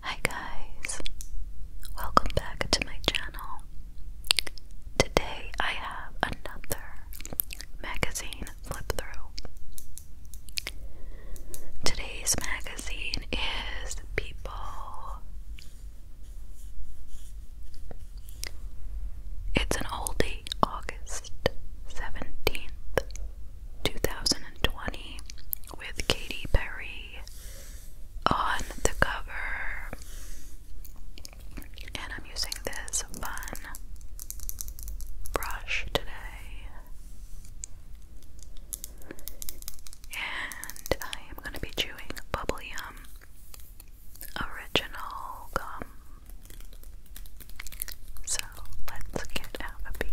Hi guys, welcome back to my channel. Today I have another magazine flip through. Today's magazine is People. It's an oldie, August. 17th, 2020, with Katy Perry on the cover. And I'm using this fun brush today. And I am going to be chewing bubble yum original gum so let's get out a piece.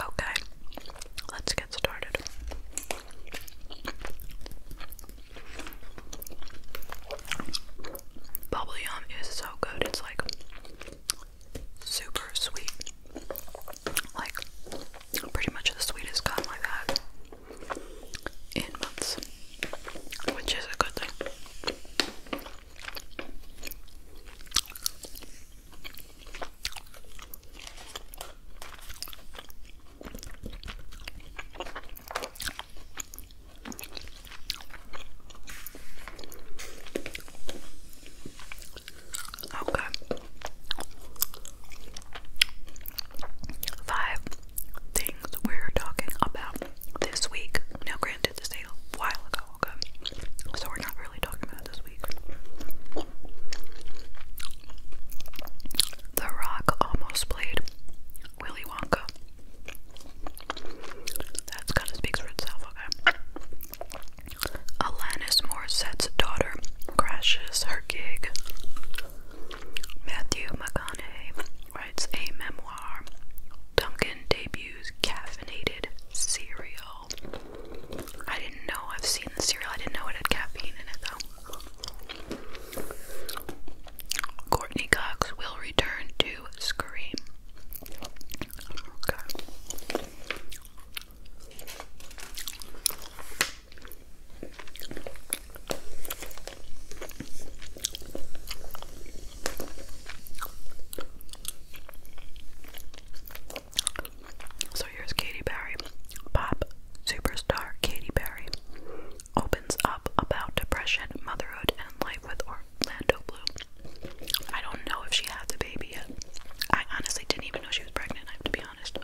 Okay, let's get started. Bubble Yum is so good. It's like super sweet. Like, pretty much the sweetest gum I've had in months, which is a good thing. Okay. Five things we're talking about this week. Now, granted, this a while ago, okay. So we're not really talking about this week. The Rock almost played Willy Wonka. That's kind of speaks for itself, okay. Alanis Morissette's daughter crashes her gig. Matthew McConaughey it's a memoir. Duncan debuts caffeinated cereal. I didn't know I've seen the cereal. I didn't know it had caffeine in it though. Courtney Cox will return to Scream. So here's Katy Perry. Pop superstar Katy Perry opens up about depression, motherhood, and life with Orlando Blue. I don't know if she had the baby yet. I honestly didn't even know she was pregnant, I have to be honest.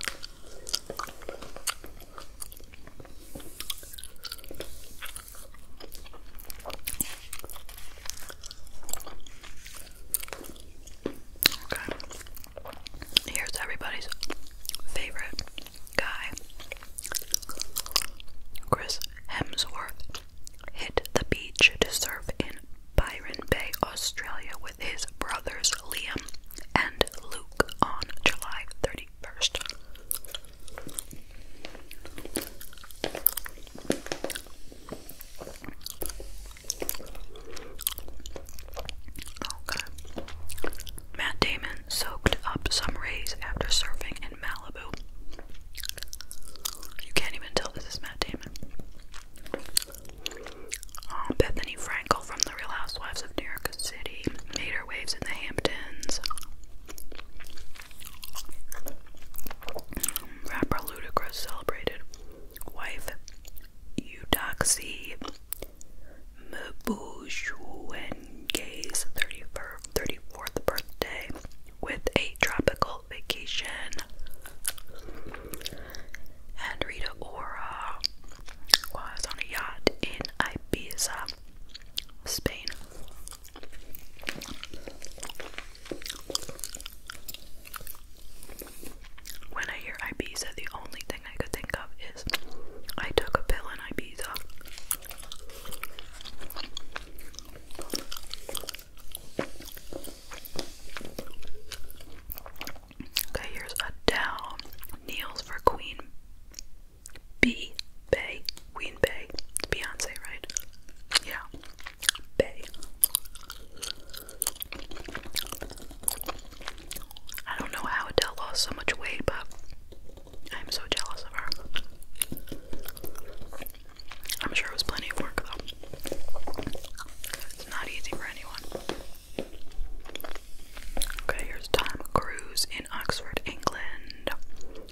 Here's everybody's favorite guy. Chris Hemsworth hit the beach to surf in Byron Bay, Australia with his brothers Liam and Luke on July 31st. Matt Damon soaked up some rays after surfing in Malibu. You can't even tell this is Matt Damon. Um, Bethany Frankel from The Real Housewives of New York City made her waves in the Hamptons. Rapper Ludacris celebrated wife Eudoxie Gay's 34th birthday with a tropical vacation. And Rita Ora was on a yacht in Ibiza, Spain. When I hear Ibiza, the only thing I could think of is I took a pill in Ibiza. Okay, here's Adele. Kneels for Queen B. Bay. Ween Bay. It's Beyonce, right? Yeah. Bay. I don't know how Adele lost so much weight, but I'm so jealous of her. I'm sure it was plenty of work, though. It's not easy for anyone. Okay, here's Tom Cruise in Oxford, England,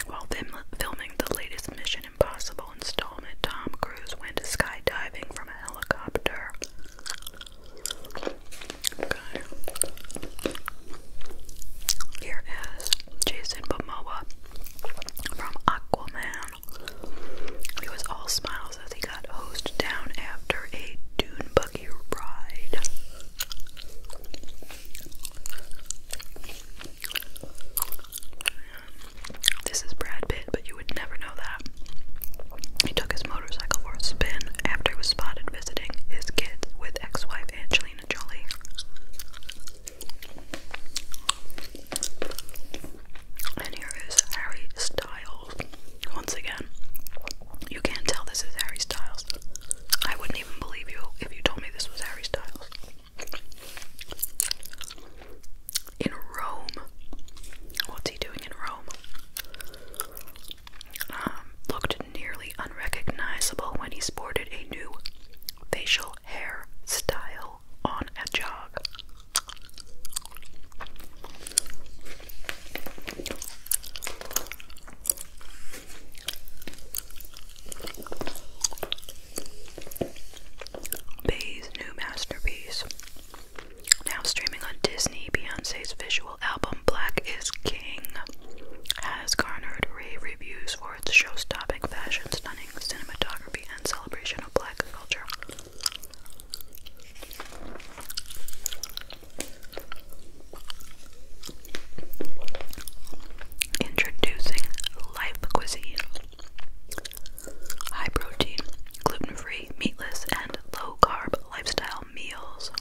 while film filming the latest Mission Impossible installment, Tom Cruise went skydiving from a helicopter. Here is Jason Momoa from Aquaman. He was all smiles as he got hosed down after a dune buggy ride. This is Brad Pitt, but you would never know that. He took his motorcycle for a spin after he was spotted visiting his kids with ex wife Angelina Jolie. And here is Harry Styles. Once again, you can't tell this is Harry Styles. I wouldn't even believe you if you told me this was Harry Styles in Rome. What's he doing in Rome? Um, looked nearly unrecognizable when he sported a new facial hair style on a jog. Bey's new masterpiece. Now streaming on Disney, Beyonce's visual album Black is King has garnered rave reviews for its show-stopping fashion, stunning cinematography, and celebration of black culture. Introducing Life Cuisine High protein, gluten free, meatless, and low carb lifestyle meals.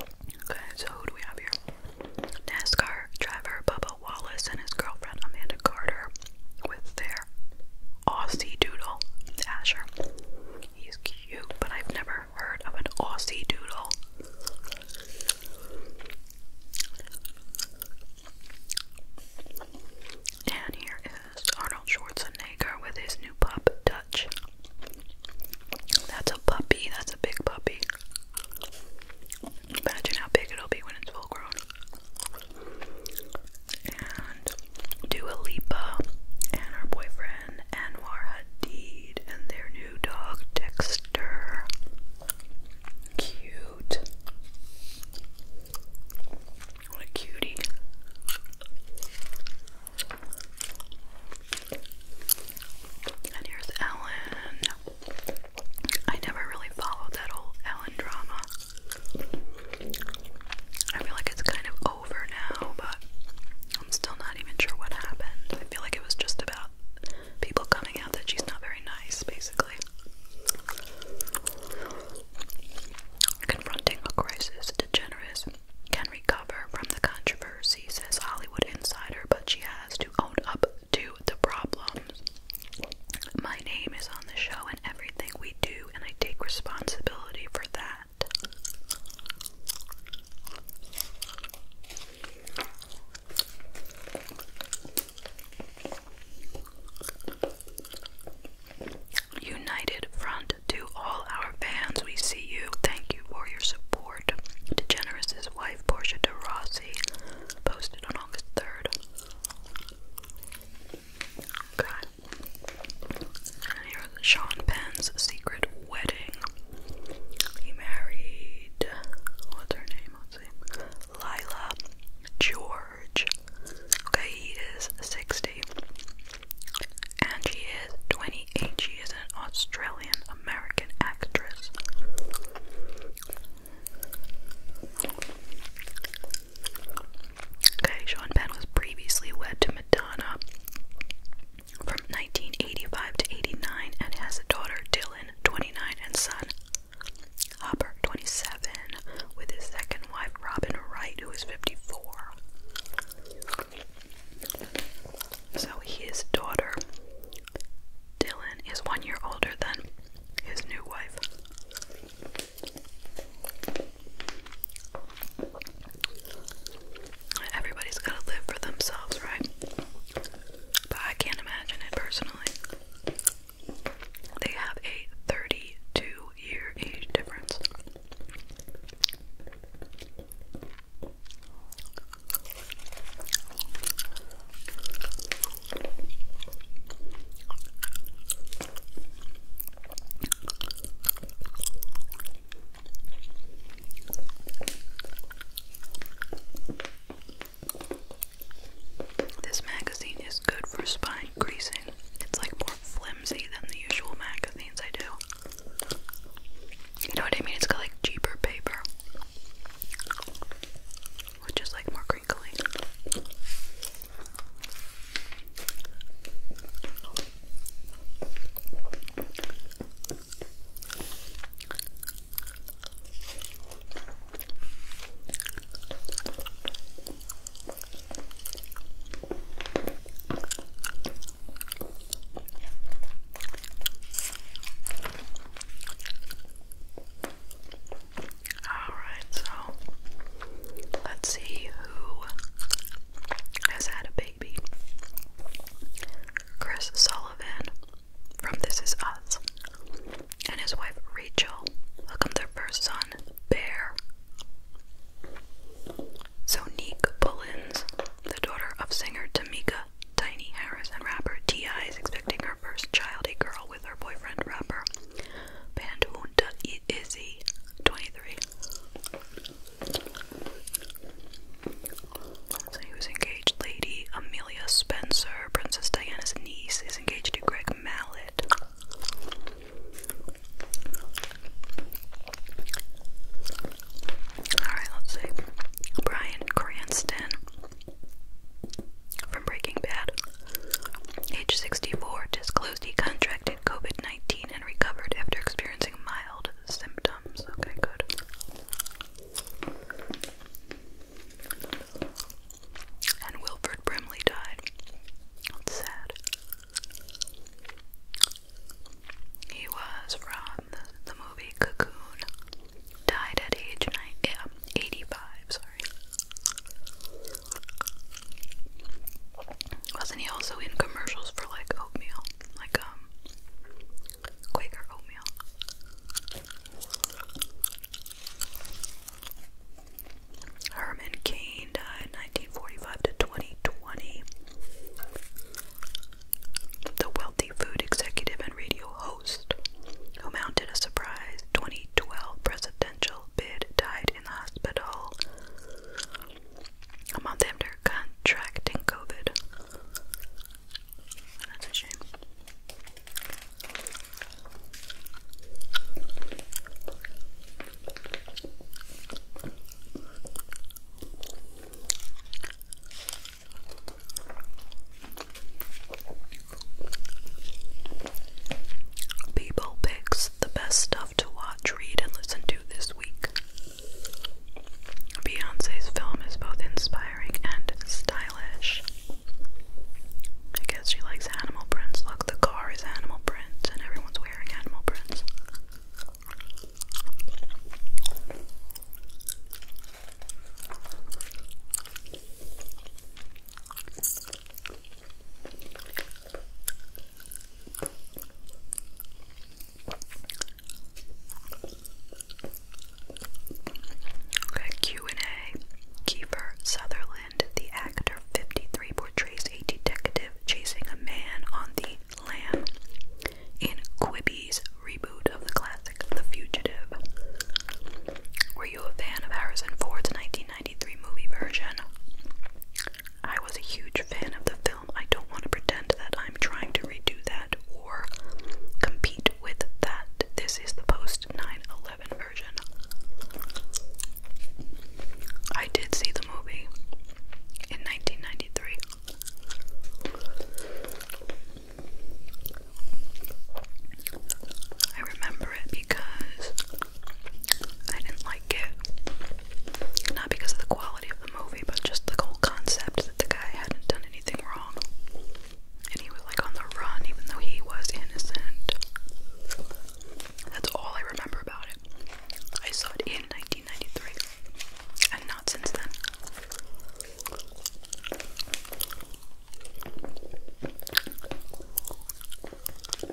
Okay, so who do we have here? NASCAR driver Bubba Wallace and his girlfriend Amanda Carter with their Aussie Doodle. Asher. He's cute, but I've never heard of an Aussie Doodle. And here is Arnold Schwarzenegger with his new pup, Dutch. That's a puppy, that's a big puppy. Imagine how big it'll be when it's full grown and Dua Lipa and her boyfriend Anwar Hadid and their new dog Dexter. Cute. What a cutie. And here's Ellen. I never really followed that old Ellen drama. I feel like it's kind of over now, but I'm still not even sure what happened. I feel like it was just about people coming out that she's not very nice, basically. Confronting a crisis, DeGeneres can recover from the controversy, says Hollywood Insider, but she has to own up to the problems. My name is on the show and everything we do, and I take responsibility for that. United Front to all our fans, we see you. Thank you for your support. To Generous's wife, Portia de Rossi, posted on August 3rd. God, here's Sean Penn's secret wedding. He married what's her name? Lila George. Okay, he is 60. And she is 28. She is an Australian American actress. Okay, Sean Penn was previously wed to Madonna from 1985 to 89 and has a daughter, Dylan, 29, and son, Hopper, 27, with his second wife, Robin Wright, who is 54. So his daughter, Dylan, is one year older than his new wife. Everybody's got to live for themselves, right? But I can't imagine it personally. They have a 32 year age difference. This magazine is good for spine greasing. It's like more flimsy than the usual magazines I do. You know what I mean? It's got like cheaper paper, which is like more crinkly. All right, so let's see who has had a baby. Chris Sullivan from This Is Us and his wife Rachel welcomed their first son, Bear. So Nick Pullins, the daughter of singer Tamika Tiny Harris and rapper T.I. is expecting her first child, a girl with her boyfriend rapper Bandhunta he is he 23 he was engaged lady amelia spencer princess diana's niece is engaged to greg mallet alright let's see brian cranston from breaking bad age 64 disclosed he contracted COVID 19 and recovered after experiencing mild symptoms. Okay, good. And Wilfred Brimley died. That's sad. He was from the, movie Cocoon. Died at age 85, sorry. Wasn't he also in commercials for like oatmeal? Like, um, Quaker oatmeal. Herman Cain died 1945 to 2020. The wealthy food executive and radio host who mounted a surprise 2012 presidential bid died in the hospital a month after contracting COVID. That's a shame. People picks the best stuff to watch, read, and listen to this week. Beyonce's film is both inspiring and stylish. I guess she likes animal prints. Look, the car is animal prints, and everyone's wearing animal prints. Okay, Q&A. Kiefer Sutherland, the actor 53, portrays a detective chasing a man on the lam in Quibby's reboot of the classic The Fugitive. Were you a fan of Harrison Ford's 1993 movie version? I was a huge fan of the film. I don't want to pretend that I'm trying to redo that or compete with that. This is the post 9 11 version. I did see the movie in 1993. I remember it because I didn't like it. Not because of the quality of the movie, but just the whole concept that the guy hadn't done anything wrong. And he was like on the run, even though he was innocent. That's all I remember about it. I saw it in 1993, and not since then. Wow.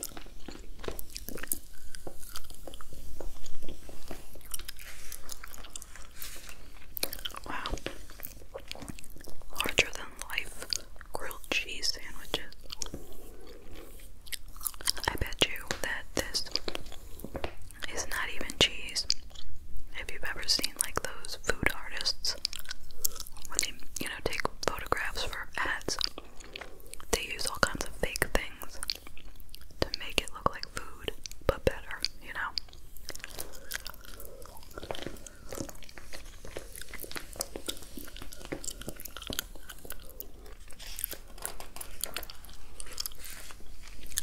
Larger than life grilled cheese sandwiches. I bet you that this is not even cheese. If you've ever seen like those food artists when they, you know, take photographs for ads, they use all kinds of fake things to make it look like food, but better, you know?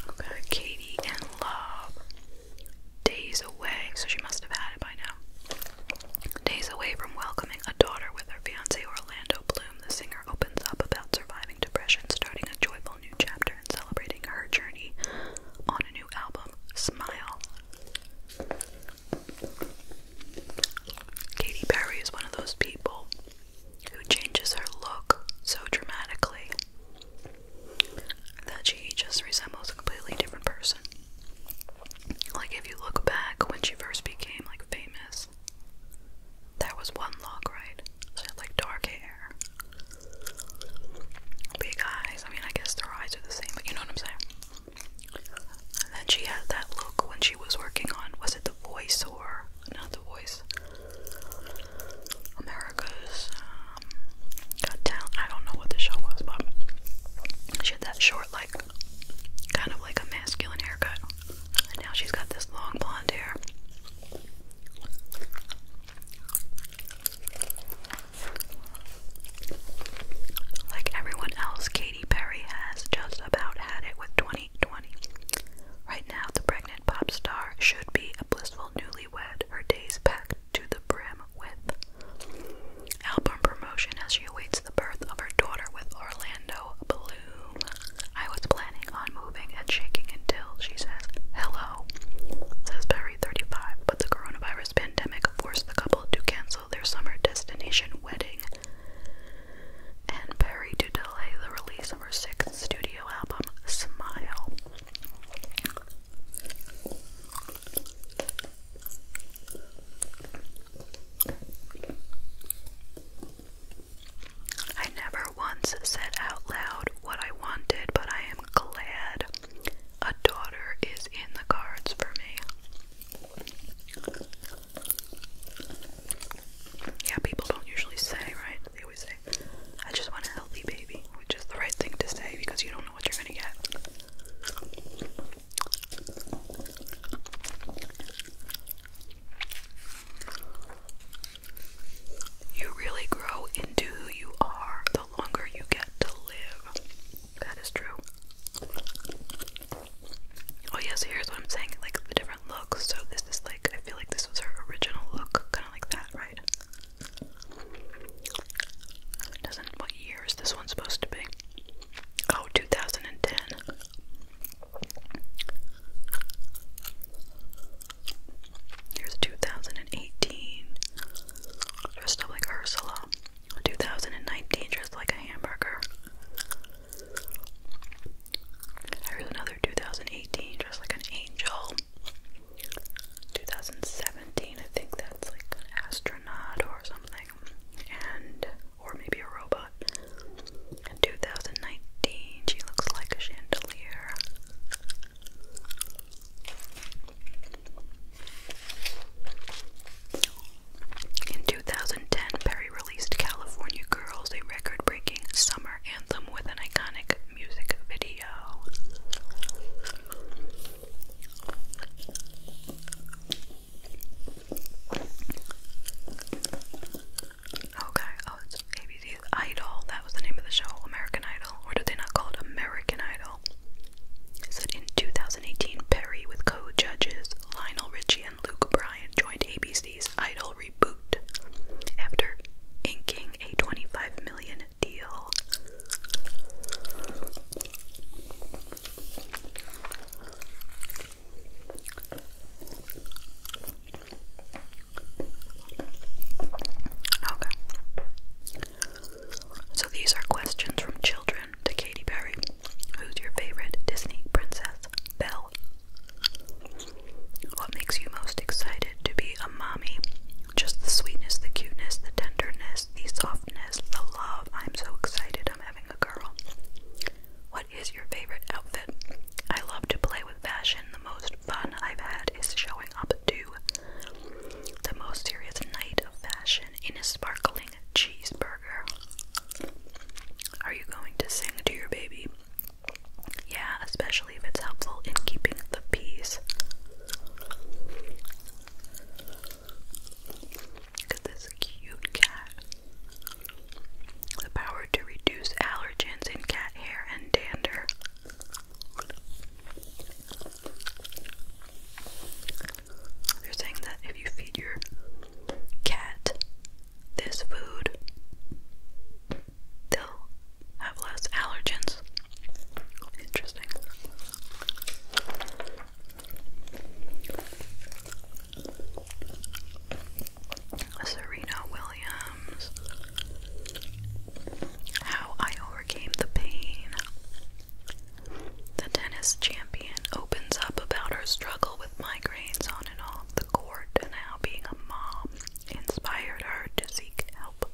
Okay, Katie and Love. Days away, so she must have had it by now. Days away from welcoming a daughter with her fiance Orlando the singer opens up about surviving depression, starting a joyful new chapter, and celebrating her journey on a new album, Smile. Katy Perry is one of those people who changes her look so dramatically that she just resembles a completely different person. Like if you look back when she first became like famous, there was one look, right? She had like dark hair. Big eyes. I mean, I guess the eyes are the same, but you know what I'm saying? And then she had that look when she was working on, was it The Voice or, not The Voice, America's um, Got Talent. I don't know what the show was, but she had that short, like, kind of like a masculine haircut. And now she's got this long blonde hair. Like everyone else, Katy Perry has just about had it with 2020. Right now, the pregnant pop star should be a blissful newlywed, her days packed to the brim with album promotion as she awaits the birth of her daughter with Orlando Bloom. I was planning on moving and shaking until she says, Hello, says Perry 35. But the coronavirus pandemic forced the couple to cancel their summer destination wedding. And Perry to delay the release of her sixth studio album, Smile. I never once said out loud what I wanted, but I am glad a daughter is in the cards for me. Yeah, people don't usually say, right? They always say, I just want a healthy baby, which is the right thing to say because you don't know what you're gonna get. You really grow into who you are the longer you get to live. That is true. Oh, yeah, here's what I'm saying like the different looks. So, this is like, I feel like this was her original look, kind of like that, right? Doesn't, what year is this one supposed to be? Oh, 2010. Here's 2018, dressed up like Ursula. 2019, dressed like a hamburger. Here's another 2018, dressed like an angel. 2017, I think that's like an astronaut or something, and or maybe a robot. In 2019, she looks like a chandelier. In 2010, Perry released California Girls, a record breaking summer anthem with an iconic music video. Okay, oh, it's ABC's Idol. That was the name of the show, American Idol. Or did they not call it American Idol? It in 2018, Perry, with co judges Lionel Richie and Luke Bryan, joined ABC's Idol reboot after inking a 25 million deal. Okay. So these are questions from children to Katy Perry. Who's your favorite Disney princess? Belle. What makes you most excited to be a mommy? Just the sweetness, the cuteness, the tenderness, the softness, the love. I'm so excited I'm having a girl. What is your favorite outfit? I love to play with fashion. The most fun I've had is showing up to the most serious night of fashion in a sparkling cheeseburger. Are you going to sing to your baby? Yeah, especially if it's helpful in keeping the peace. Look at this cute cat. The power to reduce allergens in cat hair and dander. They're saying that if you feed your cat this food, they'll have less allergens. Interesting. Serena how I Overcame the Pain. The tennis champion opens up about her struggle with migraines on and off the court and how being a mom inspired her to seek help.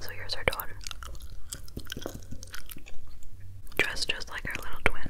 So here's our daughter. Dressed just like our little twin.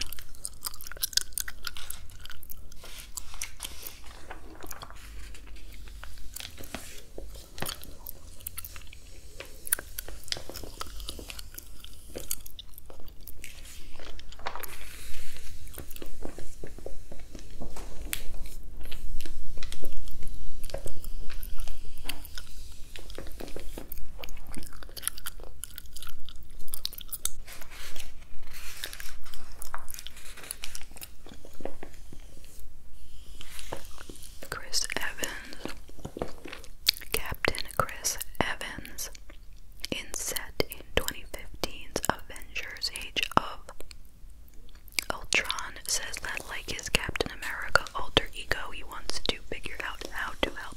Chris Evans, Captain Chris Evans in set in 2015's Avengers Age of Ultron says that like his Captain America alter ego, he wants to figure out how to help.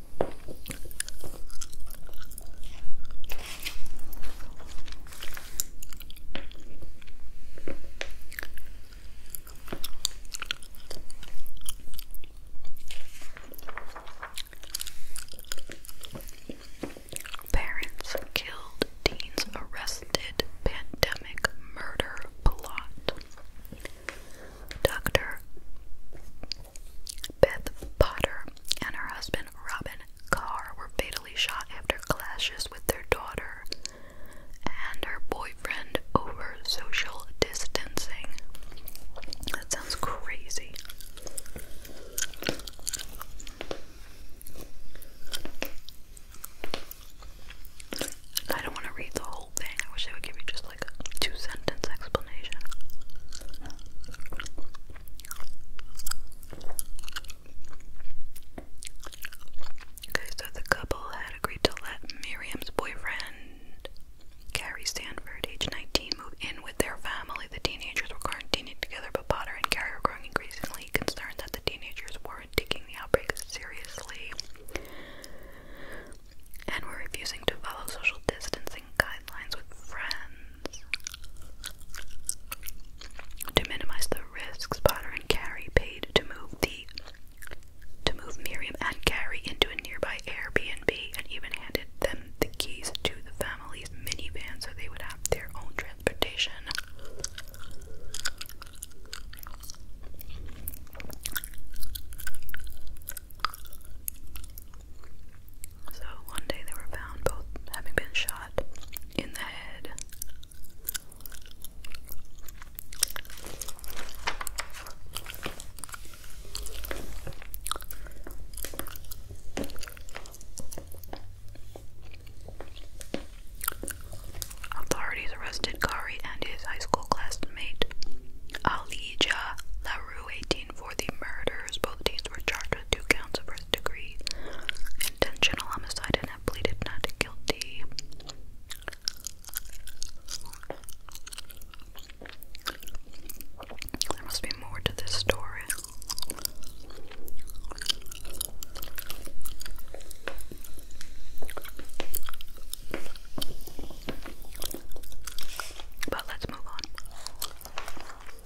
Parents killed teens arrested pandemic murder plot. Dr. Beth Potter and her husband Robin Carr were fatally shot after clashes with their daughter and her boyfriend over social distancing. That sounds crazy. I don't want to read the whole thing. I wish they would give you just like a two sentence explanation. Okay, so the couple had agreed to let Miriam's boyfriend, Carrie Stanford, age 19, move in with their family. The teenagers were quarantining together, but Potter and Carrie were growing increasingly concerned that the teenagers weren't taking the outbreak seriously and were refusing to follow social distancing guidelines with friends. To minimize the risks, Potter and Carrie paid to move the to move Miriam and Carrie into a nearby Airbnb and even handed them the keys to the family's minivan so they would have their own transportation. So one day they were found both having been shot in the head. Authorities arrested Kari and his high school classmate Alija LaRue 18 for the murders. Both teens were charged two counts of first degree intentional homicide and have pleaded not guilty. There must be more to this story. But let's move on. Okay.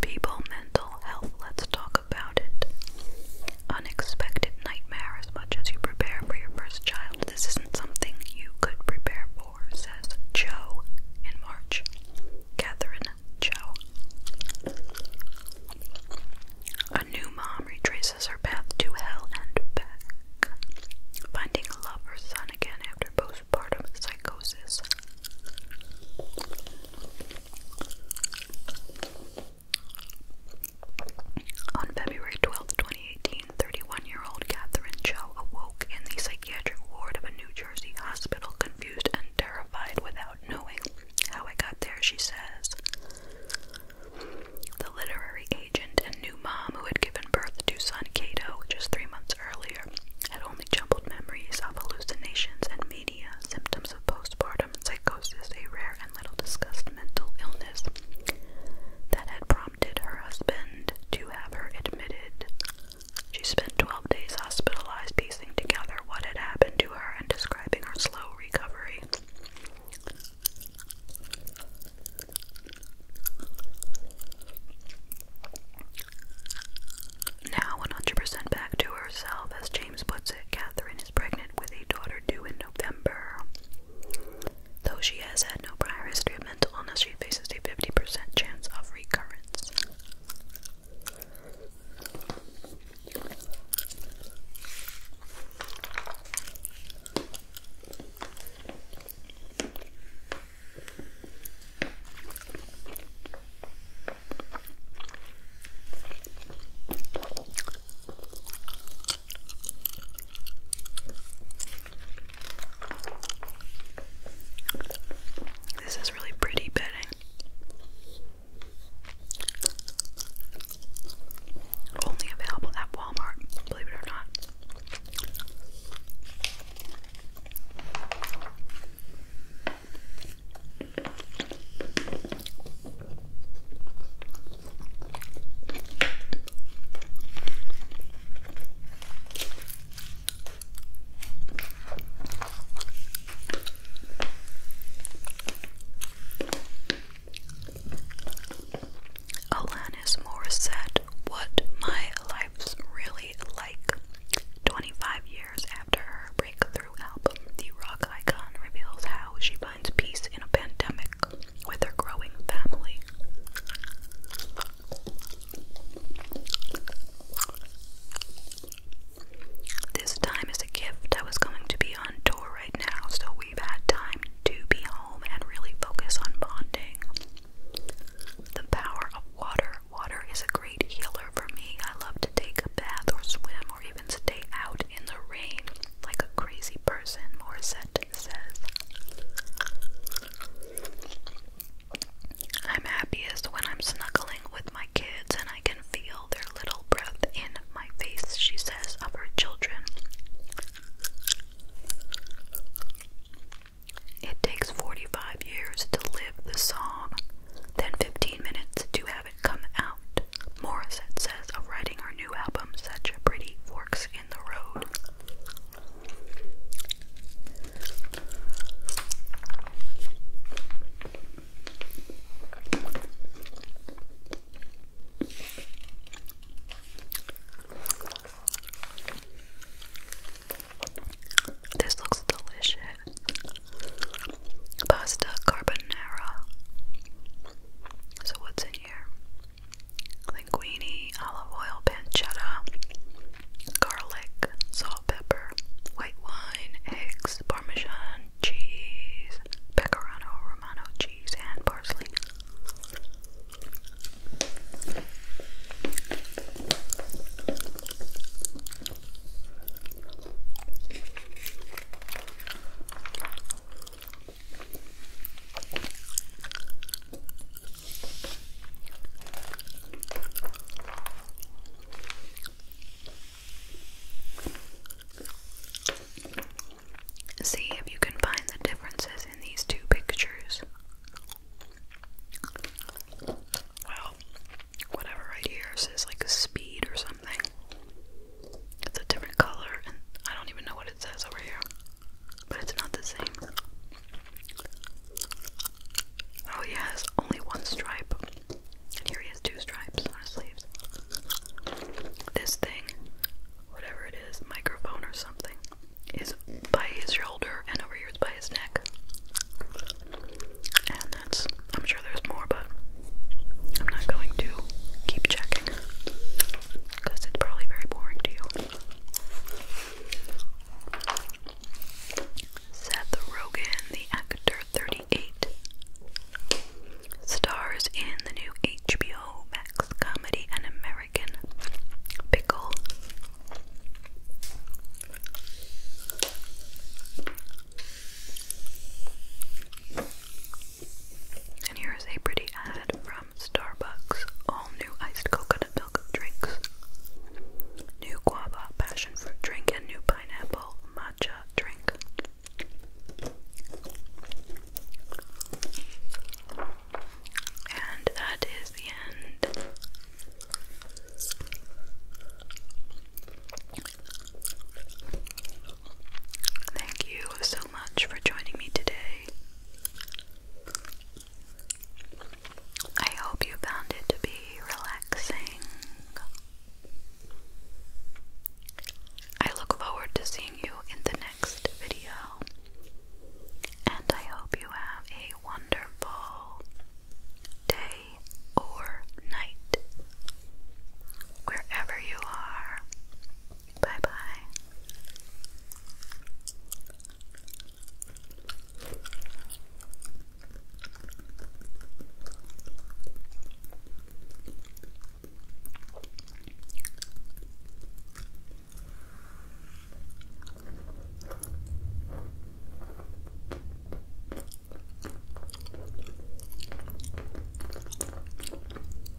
People mental health. Let's talk Unexpected nightmare as much as you prepare for your first child. This isn't something you could prepare for, says Joe in March. Catherine Joe. A new mom retraces her path to hell and back, finding love or son again after postpartum psychosis. On February 12, 2018, year old Catherine Cho awoke in the psychiatric ward of a New Jersey hospital, confused and terrified without knowing how I got there, she says. The literary agent and new mom who had given birth to son Cato just three months earlier had only jumbled memories of hallucinations and symptoms of postpartum psychosis, a rare and little discussed mental illness that had prompted her husband to have her admitted. She spent 12 days hospitalized, piecing together what had happened to her and describing her slow recovery. Now 100% back to herself, as James puts notes Catherine is pregnant with a daughter due in November. Though she has had no prior history of mental illness, she faces a 50% chance of recurrence. This is really pretty bedding. Only available at Walmart, believe it or not. Alanis Morissette, what my life's really like. 25 years after her breakthrough through album, the rock icon reveals how she finds peace in a pandemic with her growing family. This time is a gift. I was going to be on tour right now, so we've had time to be home and really focus on bonding. The power of water. Water is a great healer for me. I love to take a bath or swim or even spends a out in the rain like a crazy person, Morissette says. I'm happiest when I'm snuggling with my kids and I can feel their little breath in my face, she says of her children. It takes 45 years to live the song, then 15 minutes to have Morissette says of writing her new album, Such a Pretty Forks in the Road. This looks delicious pasta carbonara. So what's in here? Linguine, olive oil, pancetta, garlic, salt, pepper, white wine, eggs, parmesan, cheese, pecorino romano cheese, and parsley. See if you can find the differences in these two pictures. Well, whatever right here says like speed or something. It's a different color, and I don't even know what it says over here, but it's not the same. Oh, he has only one stripe. And here he has two stripes on his sleeves. This thing, whatever it is, microphone or something, is by his shoulder, and over here it's by his neck. And that's, I'm sure there's more, but I'm not going to keep checking because it's probably very boring to you. Seth Rogen, the actor, 38, stars in the new HBO Max comedy An American Pickle. And here is a pretty ad from Starbucks. All new iced coconut milk drinks. New guava passion fruit drink and new pineapple matcha drink. And that is the end Thank you so much for joining me today. I hope you found it to be relaxing. I look forward to seeing you in the next video. And I hope you have a wonderful day or night wherever you are. Bye bye.